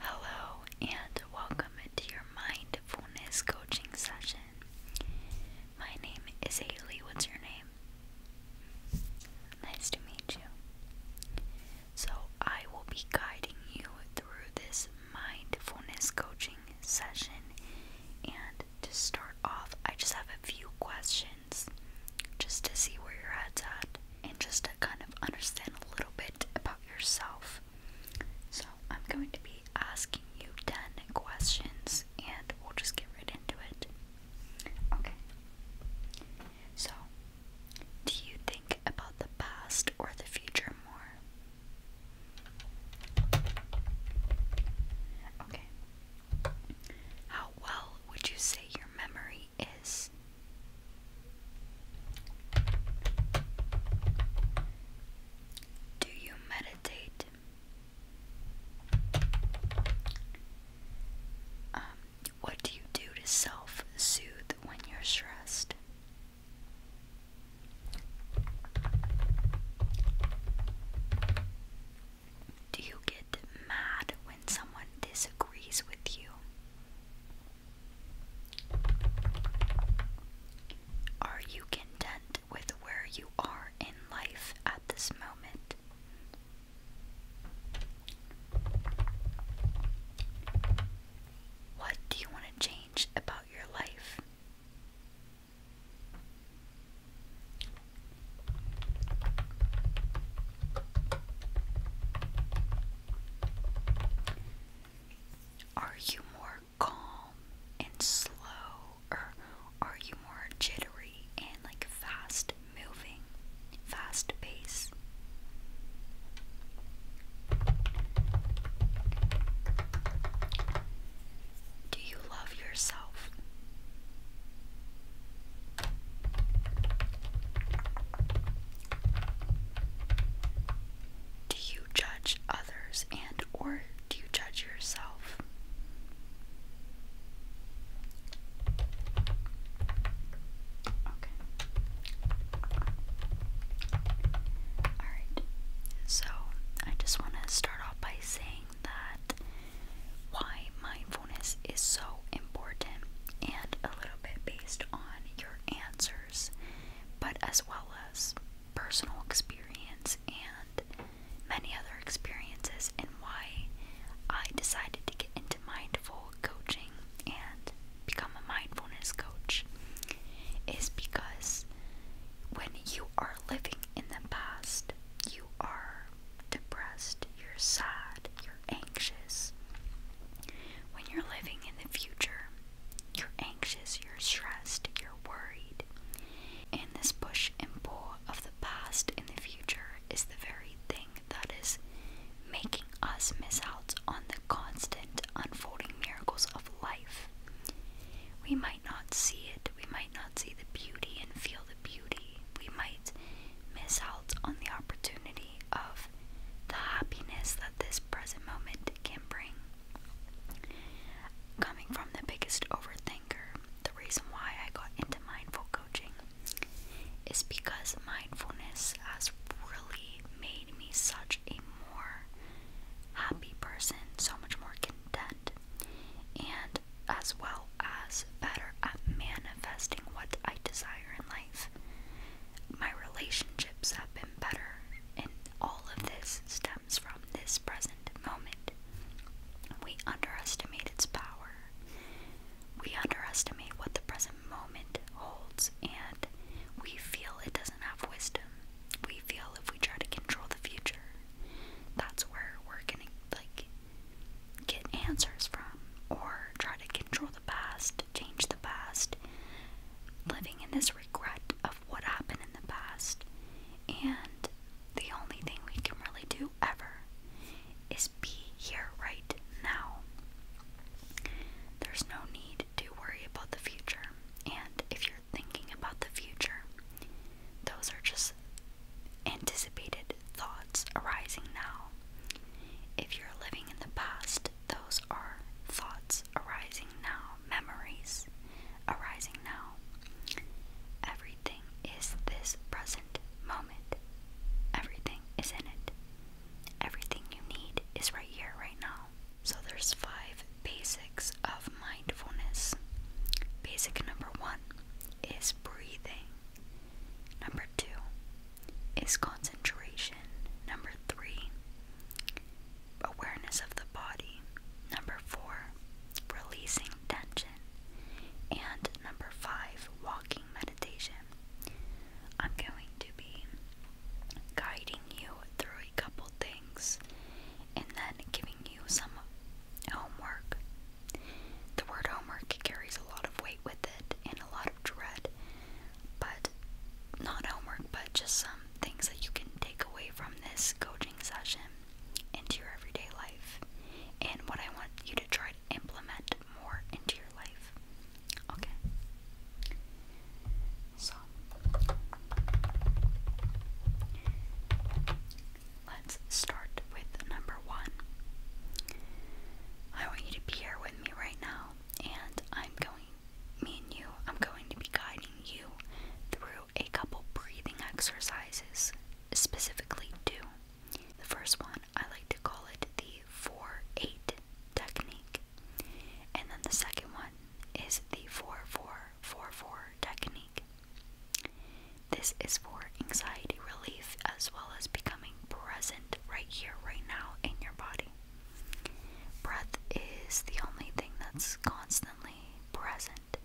Hello, and welcome to your mindfulness coaching session. My name is Haley. What's your name? Nice to meet you. So, I will be guiding you through this mindfulness coaching session. And to start off, I just have a few questions just to see where your head's at and just to kind of understand a little bit about yourself. So, I'm going to be asking you 10 questions and we'll just get right into it. Okay. So, do you think about the past or the future more? Okay. How well would you say your memory is? Do you meditate? Um, what do you do to self soothe when you're stressed? Do you get mad when someone disagrees with you? Are you content with where you are in life at this moment? What do you want to change about your life? Are you more calm and slow, or are you more jittery and like fast moving, fast pace? Do you love yourself? Do you judge others and or do you judge yourself? Okay. Alright, so I just want to start off by saying that why mindfulness is so important and a little bit based on your answers but as well as personal experience and many other experiences, and why I decided to get into mindful coaching and become a mindfulness coach is because when you are living in the past, you are depressed, you're sad, you're anxious. When you're living in the future, you're anxious, you're stressed, you're worried. And this push and pull of the past and the future is the very thing that is making us miss out on the constant unfolding miracles of life. We might not see it, we might not see the beauty and feel the beauty. We might miss out on the opportunity of the happiness that this present moment can bring. Coming from the biggest overthinker, the reason why I got into mindful coaching is because mindfulness has really made me such a more happy person, so much more content, and as well as better at manifesting what I desire in life. My relationships have been better all of this stems from this present moment. We underestimate its power. We underestimate what the present moment holds, and we feel it doesn't have wisdom. We feel if we try to control the future, that's where we're gonna like get answers from, or try to control the past, change the past. Living in this regret of what happened in the past, and the only thing we can really do ever is be here right now. There's no need to worry about the future, and if you're thinking about the future, those are just anticipated thoughts arising now. If you're living in the past, those are thoughts arising now memories arising now. Everything is this present moment. Everything is in it. Everything you need is right here, right now. So there's five basics of mindfulness. Basic number one is breathing. Number two is concentration. Number three awareness of the body. Number four, releasing tension. And number five, walking meditation. I'm going to be guiding you through a couple things and then giving you some homework. The word homework carries a lot of weight with it and a lot of dread, but not homework, but just some things that you can take away from this coaching session into your everyday life and what I want you to try to implement more into your life. Okay. So let's start with number one. I want you to be here with me right now, and I'm going me and you, I'm going to be guiding you through a couple breathing exercises, specifically two. The first one, I like to call it the 4 8 technique, and then the second one is the 4 4 4 4 technique. This is for anxiety relief as well as becoming present right here, right now in your body. Breath is the only thing that's constantly present.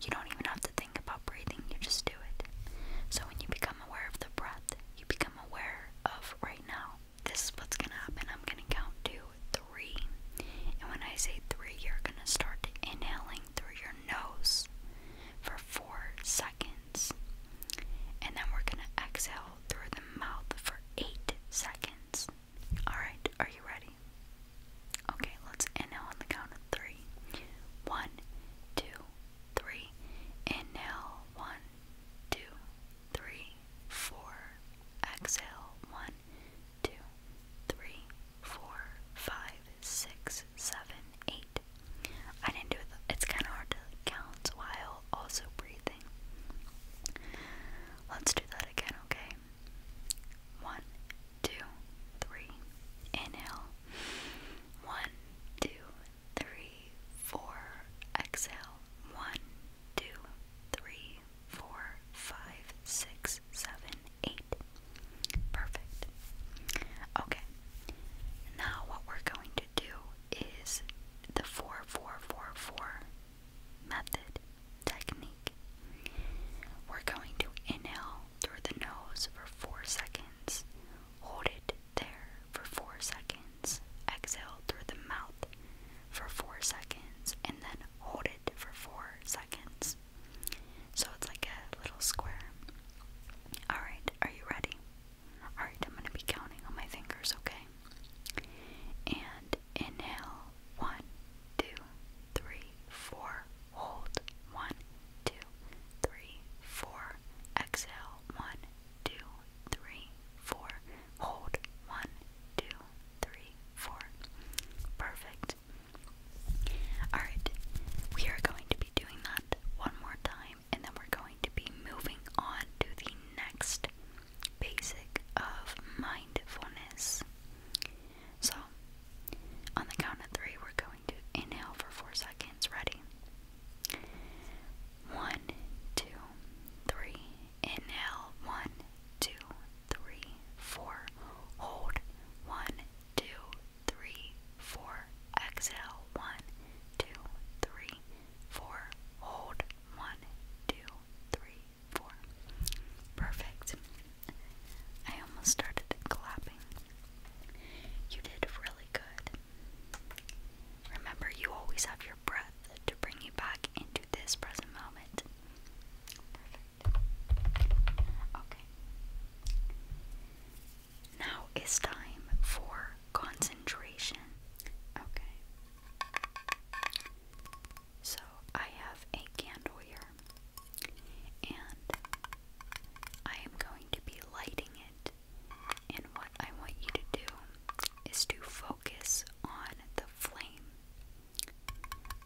You don't even have to think about breathing, you just do it. So when you become aware of the breath, you become aware of right now. This is what's gonna happen. I'm gonna count to three. And when I say three, you're gonna start inhaling through your nose for four seconds. And then we're gonna exhale through the mouth for eight seconds. Alright, are you ready? Okay, let's inhale on the count of three. One, two, three. Inhale, one, two, three, four. Exhale, one, two, three, four, five, six, seven, eight. I didn't do it, it's kind of hard to count while also breathing. Let's do that again, okay? One, two, three. Inhale. One, two, three, four. Exhale. One, two, three, four, five, six, seven, eight. Perfect. Okay. Now what we're going to do is the four, four, four, four method, technique. We're going to inhale through the nose for four seconds, hold it there for four seconds, exhale through the mouth for four seconds, and then hold it for four seconds. So it's like a little square. Alright, are you ready? Alright, I'm going to be counting on my fingers, okay? And inhale one, two, three, four, hold, one, two, three, four, exhale, one, two, three, four, hold, one, two, three, four. Perfect. Alright, we are going to be doing that one more time and then we're going to be moving on to the next basic of mindfulness. So, on the count of three, we're going to inhale for four seconds. Ready? One, two, three. Inhale. One, two, three, four. Hold. One, two, three, four. Exhale. One, two, three, four. Hold. One, two, three, four. Perfect. I almost started clapping. You did really good. Remember, you always have your breath to bring you back into this present moment. Okay. Now is time for concentration. Okay. So I have a candle here, and I am going to be lighting it. And what I want you to do is to focus on the flame.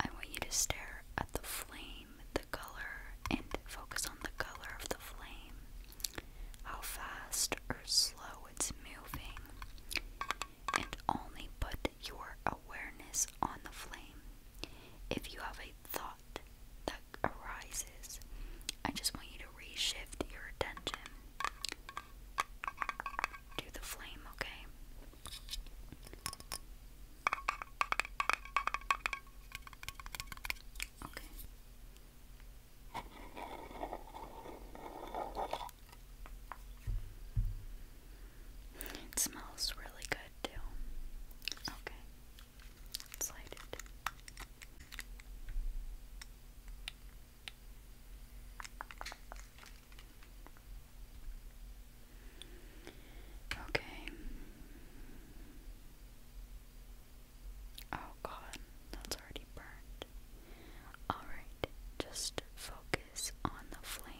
I want you to stare at the flame, the color, and focus on the color of the flame. How fast or slow it's moving and only put your awareness on the flame. If you have a thought that arises, I just want you to reshift your attention to the flame, okay? Okay. It smells really good too. Okay, let it. Okay. Oh god, that's already burned. Alright, just focus on the flame.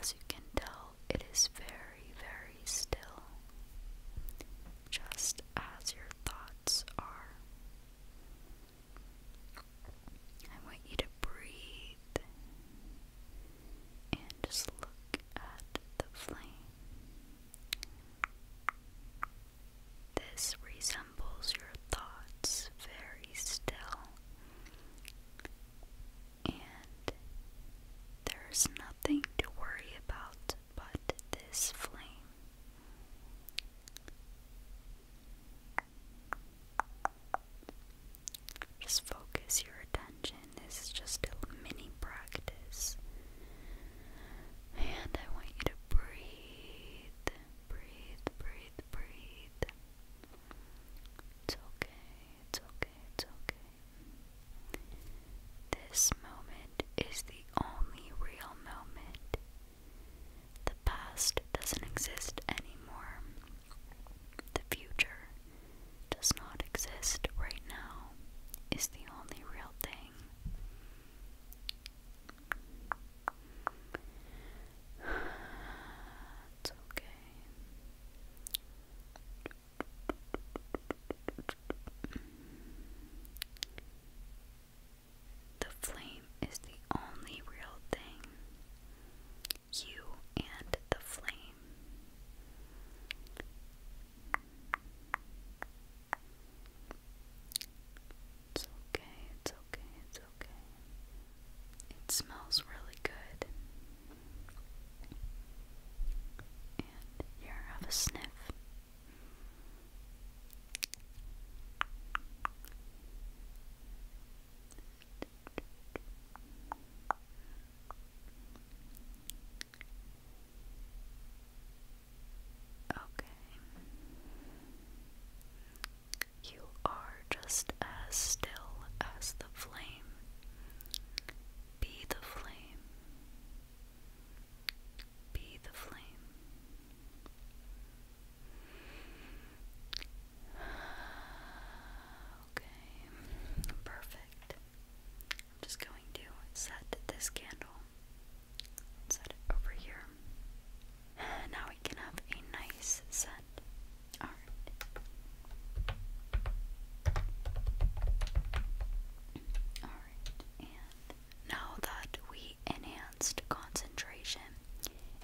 As you can tell, it is very, very still, just as your thoughts are. I want you to breathe and just look at the flame. This resembles your thoughts very still, and there's nothing to worry about but this flame. Just focus your attention. This is just a mini practice. And I want you to breathe Breathe, breathe, breathe. It's okay, it's okay, it's okay. This moment is the only real moment. The past doesn't exist anymore. The future does not exist right now, is the only real thing. It's okay. The flame is the only real thing. You and the flame. It's okay, it's okay, it's okay. It smells really good. And here, have a sniff. Okay. You are just as still as the flame. Be the flame. Be the flame. Okay, perfect. I'm just going to set this candle set it over here. Now we can have a nice scent. Alright. Alright, and now that we enhanced concentration,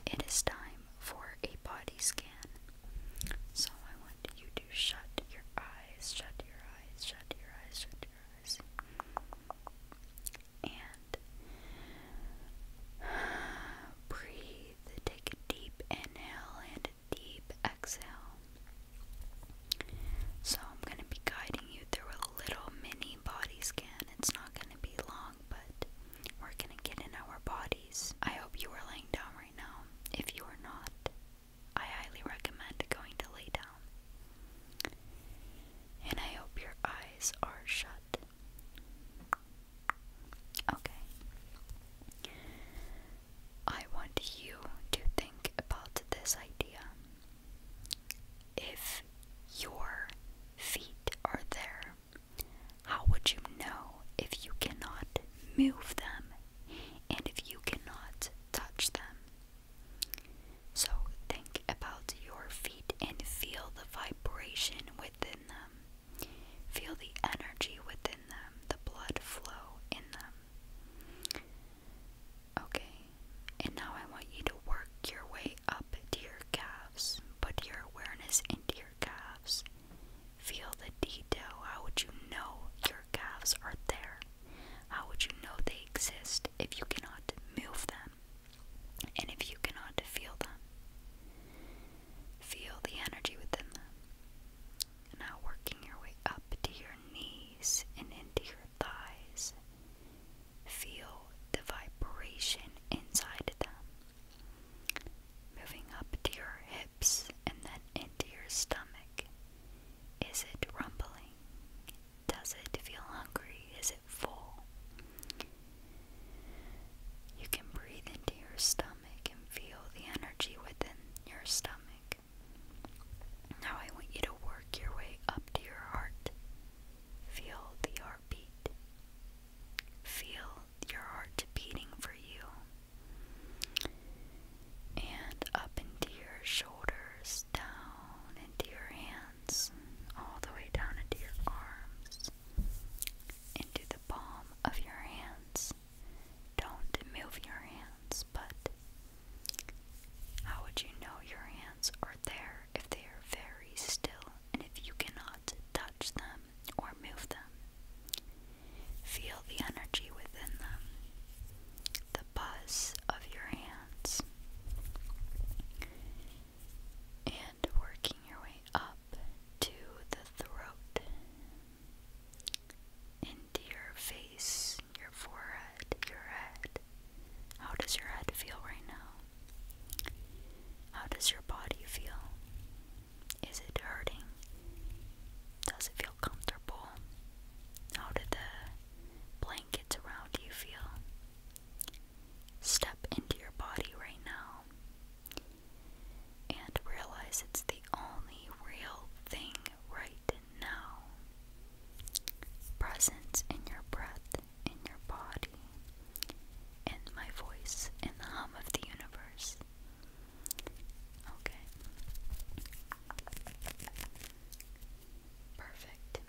it is time for a body scan. So I want you to shut your eyes, shut your eyes, shut your eyes, shut your eyes and breathe. Take a deep inhale and a deep exhale. So, I'm going to be guiding you through a little mini body scan. It's not going to be long, but we're going to get in our bodies. I hope you are laying down right now. If you are not, I highly recommend going to lay down. And I hope your eyes are shut. Okay. I want you to think about this idea. If your feet are there, how would you know if you cannot move them and if you cannot touch them? So think about your feet and feel the vibration within them. Feel the energy within them, the blood flow in them. Okay, and now I want you to work your way up to your calves. Put your awareness into your calves. Feel the detail. How would you know your calves are there? How would you know they exist if you cannot move them? And if you cannot feel them, feel the energy within them. Now working your way up to your knees and into your thighs. Feel the vibration inside them. Moving up to your hips and then into your stomach. Is it rumbling? Does it feel hungry? Is it full? You can breathe into your stomach and feel the energy within your stomach. Now I want you to work your way up to your heart. Feel the heartbeat. Feel your heart beating for you. And up into your shoulders, down into your hands all the way down into your arms, into the palm of your hands. Don't move your hands, but how would you know your hands are there if they are very still and if you cannot touch them or move them? Feel the energy within them, the buzz of your hands. And working your way up to the throat, into your face, your forehead, your head. How does your head feel right now? How does your body feel? Is it hurting? Does it feel comfortable? How did the blankets around you feel? Step into your body right now and realize it's the only real thing right now. Presence in your breath, in your body, in my voice, in the hum of the universe. Okay. Perfect.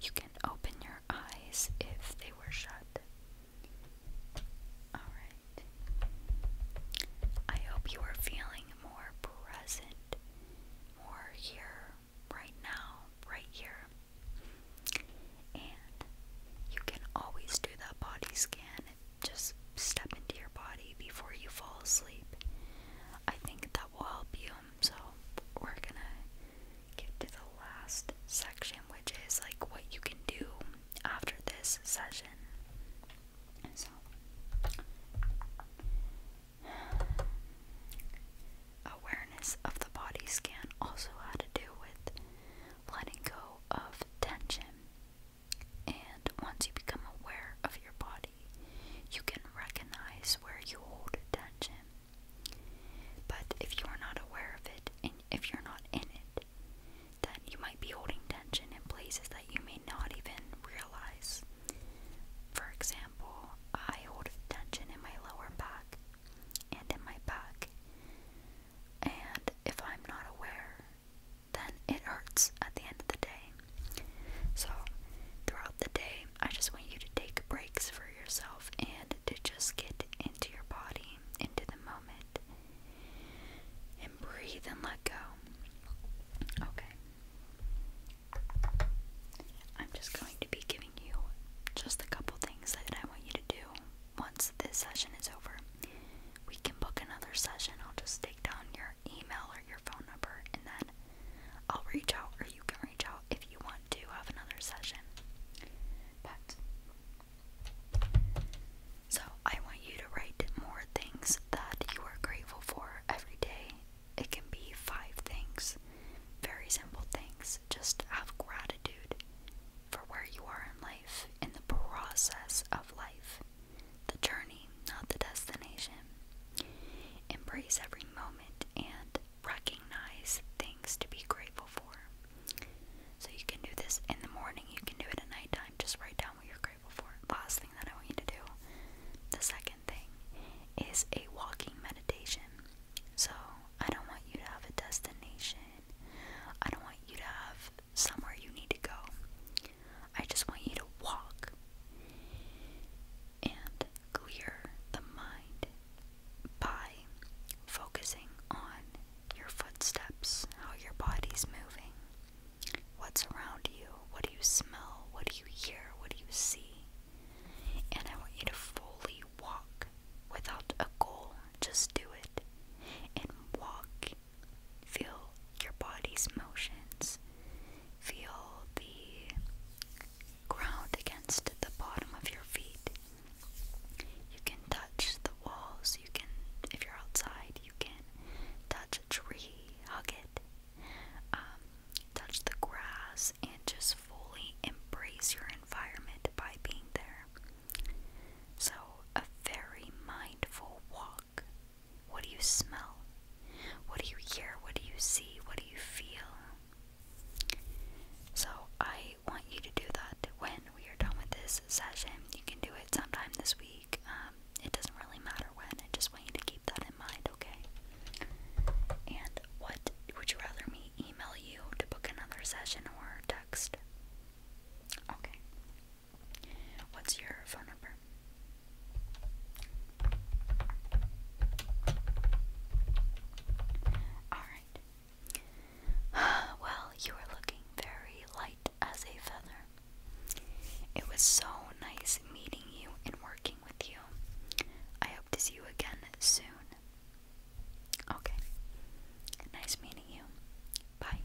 You can open your eyes if they were shut. Alright. I hope you are feeling more present, more here, right now, right here. And you can always do that body scan. Just step into your body before you fall asleep. I think that will help you. So, we're gonna get to the last section, which is like what you can do after this session. awareness of the body scan also had to do with letting go of tension. And once you become aware of your body, you can recognize where you hold tension but if you're not aware of it and if you're not in it, then you might be holding tension in places that you may not even realize. For example, I hold tension in my lower back and in my back. And if I'm not aware, then it hurts at the end of the day. So, throughout the day, I just want you to take breaks for yourself and to just get into your body, into the moment, and breathe and let go. Okay. I'm just going to be giving you just a couple things that I want you to do once this session is over. We can book another session. I'll just take down your email or your phone number and then I'll reach out or you can reach out if you want to have another session. But so I want you to write more things that you are grateful for every day. It can be five things, very simple things. Just have gratitude for where you are in life, in the process of life, the journey, not the destination. Embrace every moment and recognize things to be grateful for. So you can do this in the morning, you can do it at nighttime. Just write down what you're grateful for. Last thing that I want you to do, the second thing, is a walking meditation. So I don't want you to have a destination, I don't want you to have somewhere you need to go. I just want you to walk and clear the mind by focusing on your footsteps, how your body's moving, what's around you, what do you smell, what do you hear, what do you see. And I want you to fully walk without a goal, just do it. And walk, feel your body's motions, feel the ground against the bottom of your feet. You can touch the walls, you can, if you're outside, you can touch a tree, hug it, um, touch the grass, and just fully embrace your environment by being there. So, a very mindful walk. What do you smell? What do you hear? What do you see? What do you feel? So, I I want you to do that when we are done with this session. You can do it sometime this week. Um, it doesn't really matter when. I just want you to keep that in mind, okay? And what would you rather me email you to book another session or text? Okay. What's your phone number? Alright. well, you were looking very light as a feather. It was so nice meeting you and working with you. I hope to see you again soon. Okay. Nice meeting you. Bye.